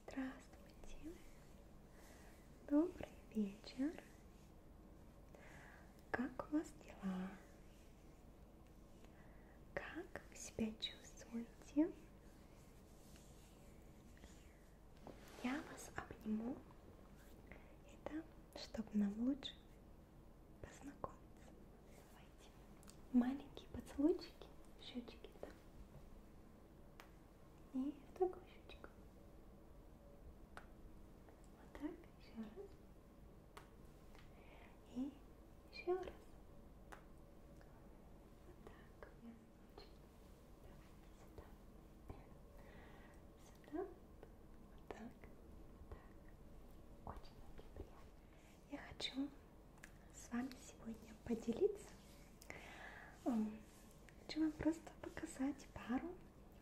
Здравствуйте, добрый вечер. Как у вас дела? Как вы себя чувствуете? Я вас обниму. Это чтобы нам лучше познакомиться. Давайте. Маленькие поцелуйчики, щечки, да. И в такую щечку. Вот так, еще раз. И еще раз. Вот так сюда, вот так, вот так. Очень-очень приятно. Я хочу с вами сегодня поделиться. Хочу вам просто показать пару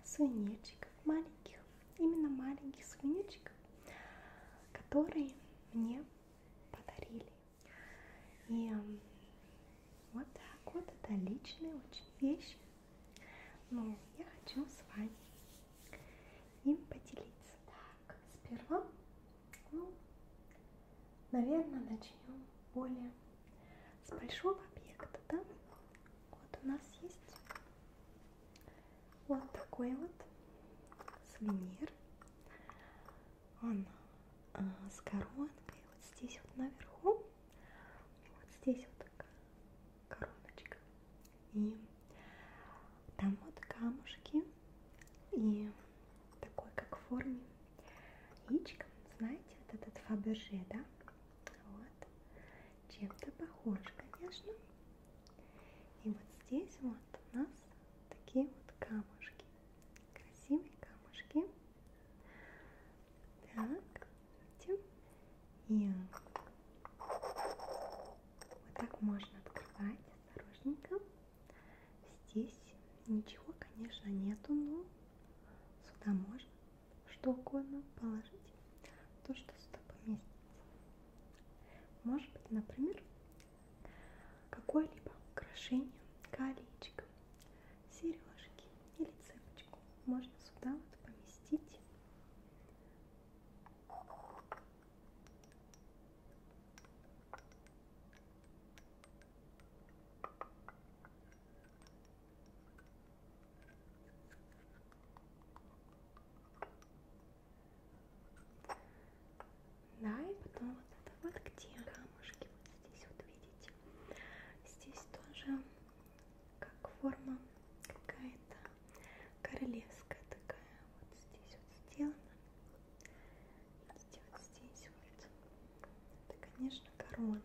сувенирчиков маленьких, именно маленьких сувенирчиков, которые мне подарили. И вот так вот, это личные очень вещи. Но я хочу с вами им поделиться. Так, сперва, ну, наверное, начнем более с большого объекта, да? Вот у нас есть вот такой вот сувенир. Он а, с коронкой вот здесь вот наверху. Вот здесь вот короночка. И там вот камушки. И такой, как в форме яичка. Знаете, вот этот Фаберже, да? Вот. Чем-то похож, конечно. И вот здесь вот у нас такие вот камушки красивые камушки. Так, видите? И вот так можно открывать осторожненько. Здесь ничего, конечно, нету, но сюда можно что угодно положить, то, что сюда поместится. Может быть, например, какое-либо украшение колечко сережки или цепочку можно сюда вот поместить. Да, и потом вот это вот где камушки вот здесь вот видите. Здесь тоже как форма какая-то королевская такая. Вот здесь вот сделана. Видите, вот здесь вот. Это, конечно, корона.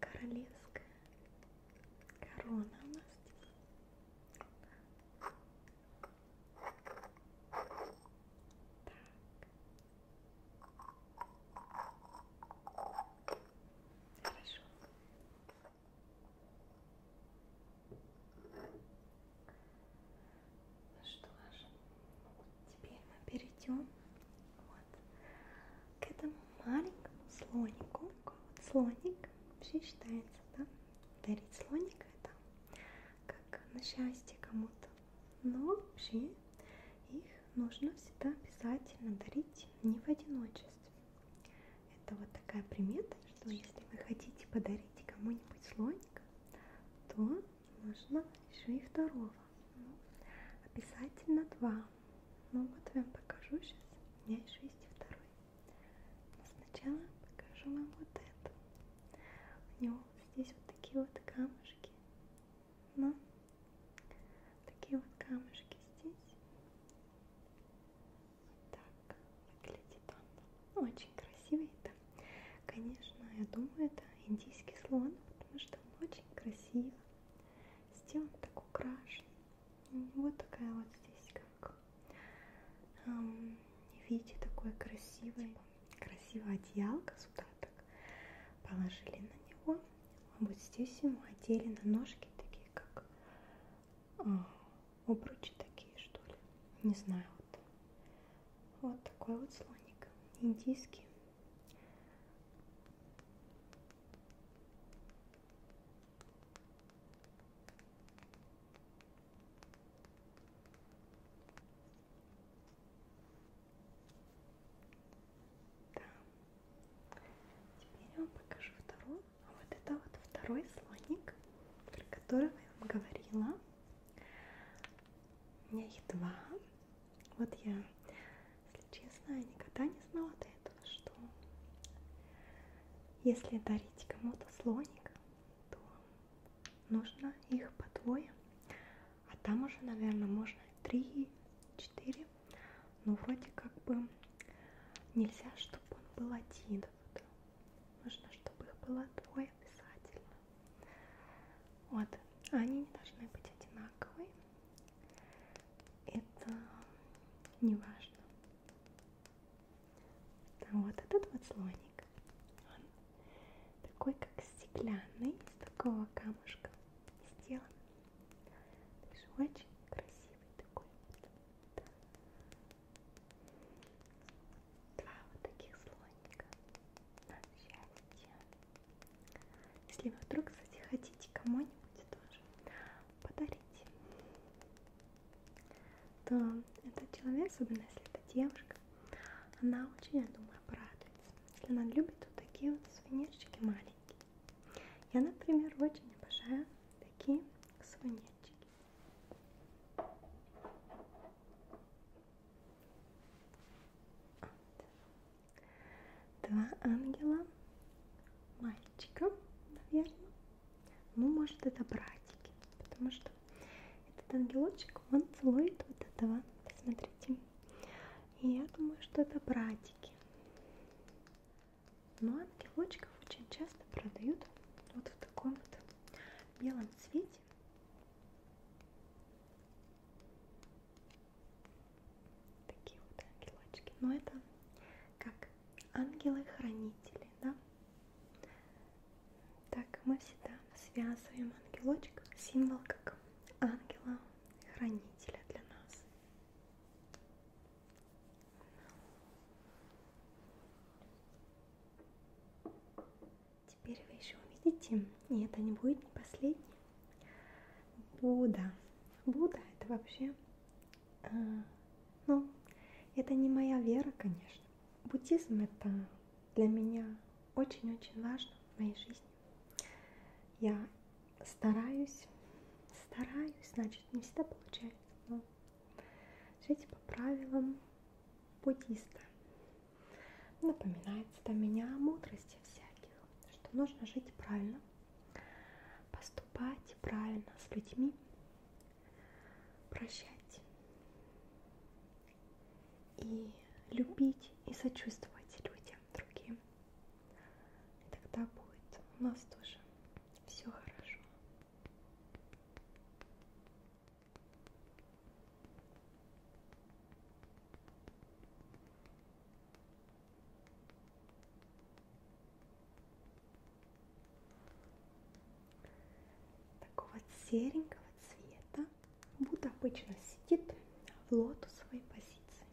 Королевская корона у нас здесь. Так. Хорошо. Ну что ж, теперь мы перейдем вот к этому маленькому слонику. Такой вот слоник вообще считается, да? Дарить слоника это как на счастье кому-то но вообще их нужно всегда обязательно дарить не в одиночестве. Это вот такая примета, что если вы хотите подарить кому-нибудь слоника, то нужно еще и второго. Ну, обязательно два. Ну вот я вам покажу сейчас. У меня еще есть и второй. Но сначала покажу вам вот это. У него здесь вот такие вот камушки. Но ну, такие вот камушки здесь. Вот так выглядит он. Очень красивый. Да. Конечно, я думаю, это индийский слон, потому что он очень красиво сделан, так украшен. У него такая вот здесь как эм, видите, такой красивый красивая одеялка с так положили на него. А вот здесь ему одели на ножки такие, как а, обручи такие, что ли. Не знаю. Вот, вот такой вот слоник. Индийский. Да. Теперь я вам покажу вторую. А вот это вот второй слоник, про которого я вам говорила. У меня их два. Вот я, если честно, никогда не знала до этого, что если дарить кому-то слоника, то нужно их по двое, а там уже, наверное, можно три, четыре, но ну, вроде как бы нельзя, чтобы он был один. Вот. Нужно, чтобы их было двое обязательно. Вот, они не должны быть одинаковые. Это не важно. А вот этот вот слоник, он такой как стеклянный, из такого камушка сделан. Очень красивый такой. Два вот таких слоника на счастье. Если вы вдруг, кстати, хотите кому-нибудь тоже подарить то этот человек, особенно если это девушка, она очень, я думаю, порадуется. Если она любит вот такие вот сувенирчики маленькие. Я, например, очень обожаю такие сувенирчики. Вот. Два ангела мальчика, наверное. Ну, может, это братики, потому что этот ангелочек, он целует вот этого, посмотрите. И я думаю, что это братики. Но ангелочков очень часто продают вот в таком вот белом цвете. Такие вот ангелочки. Но это как ангелы-хранители, да? Так, мы всегда связываем ангелочек, символ как ангела-хранителя для нас. Теперь вы еще увидите, и это не будет не последний, Будда. Будда это вообще, э, ну, это не моя вера, конечно буддизм это для меня очень-очень важно в моей жизни. Я стараюсь, стараюсь, значит, не всегда получается, но жить по правилам буддиста. Напоминается для меня о мудрости всяких, что нужно жить правильно, поступать правильно с людьми, прощать и любить и сочувствовать людям другим. И тогда будет у нас тоже все хорошо такого серенького цвета. Буд обычно сидит в лотосовой позиции.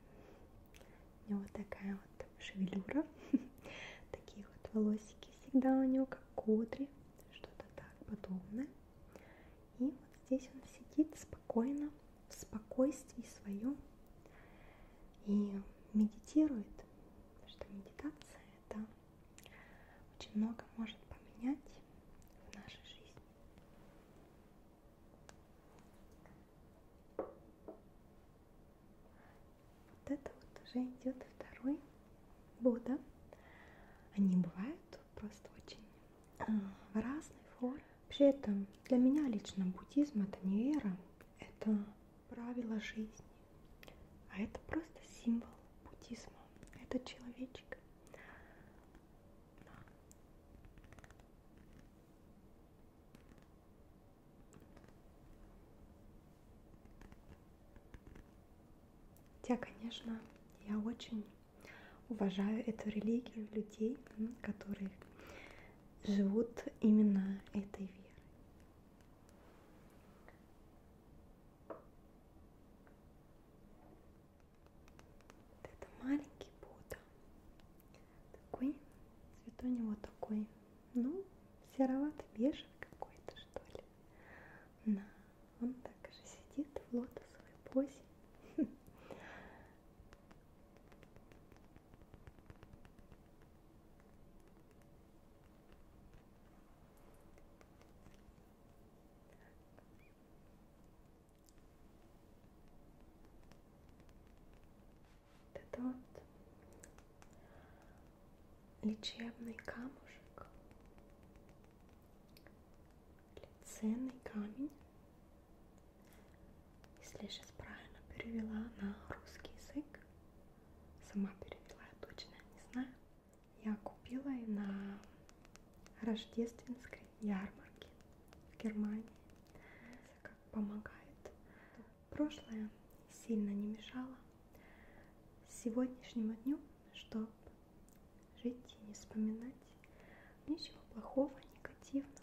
У него такая вот шевелюра. Такие вот волосики всегда у него, как кудри, что-то так подобное. И вот здесь он сидит спокойно, в спокойствии своем и медитирует, потому что медитация это очень много может поменять в нашей жизни. Вот это вот уже идет второй Будда. Они бывают просто очень в а, разной форме. Вообще это для меня лично буддизм это не вера, это правила жизни. А это просто символ буддизма. Это человечек. Да. Хотя, конечно, я очень уважаю эту религию людей, которые живут именно этой верой. Вот это маленький Будда. Такой, цвет у него такой, ну, сероватый, бежевый какой-то, что ли. На, он так же сидит в лотосовой позе. Это тот лечебный камушек, лиценный камень, если я сейчас правильно перевела на русский язык, сама перевела, я точно не знаю. Я купила ее на рождественской ярмарке в Германии. Как помогает. Прошлое сильно не мешало сегодняшнему дню, чтобы жить и не вспоминать ничего плохого, негативного.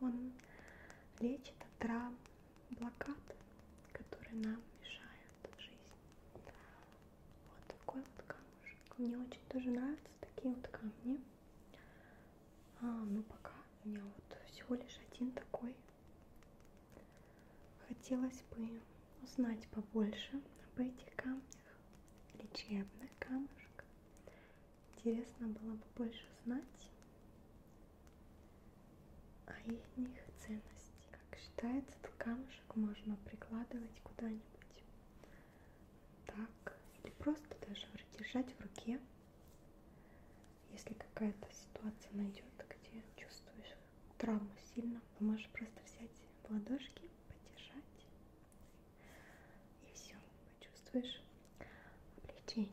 Он лечит от травм, блокад, которые нам мешают в жизни. Вот такой вот камушек. Мне очень тоже нравятся такие вот камни. А, ну пока у меня вот всего лишь один такой. Хотелось бы узнать побольше об этих камнях. Лечебный камушек. Интересно было бы больше знать а и них ценности. Как считается, этот камушек можно прикладывать куда-нибудь так, или просто даже держать в руке, если какая-то ситуация найдет, где чувствуешь травму сильно, то можешь просто взять в ладошки, подержать, и все, почувствуешь облегчение.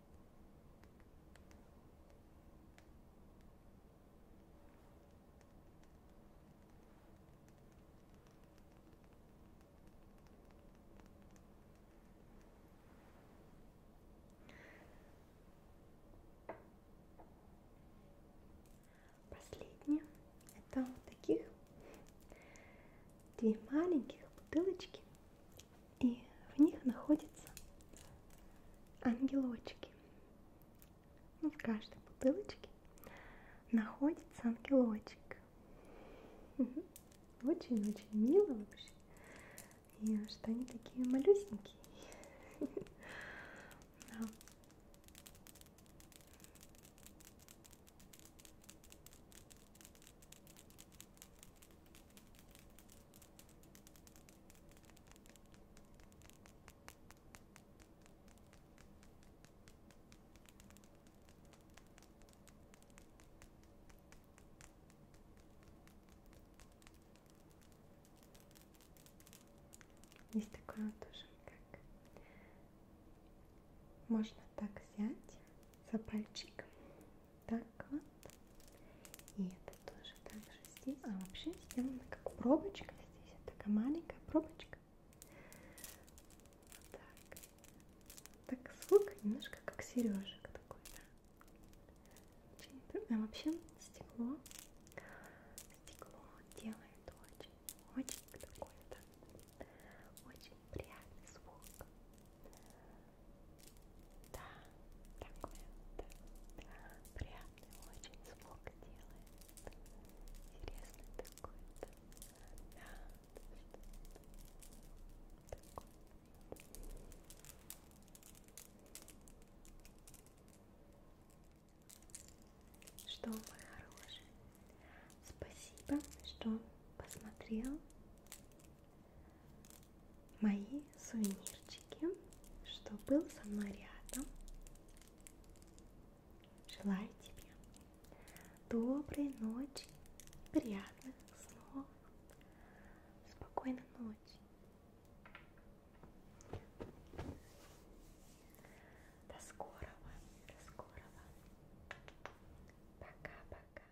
Последнее это вот таких две маленьких бутылочки и в них находятся ангелочки. Ну, в каждой бутылочке находится ангелочек. Очень-очень мило вообще. И что они такие малюсенькие. Да. Есть такое тоже, как можно так взять за пальчик так вот. И это тоже так же здесь. А вообще сделано как пробочка здесь. Это такая маленькая пробочка. Вот так. Так звук немножко как сережек такой, да. А вообще стекло. Стекло делает очень, очень такой-то. Очень приятный звук. Да, такой вот приятный очень звук делает. Интересный такой-то. Да, такой. Что, мой хороший? Спасибо, что посмотрел мои сувенирчики, что был со мной рядом. Желаю тебе доброй ночи, приятных снов, спокойной ночи. До скорого, до скорого. Пока-пока.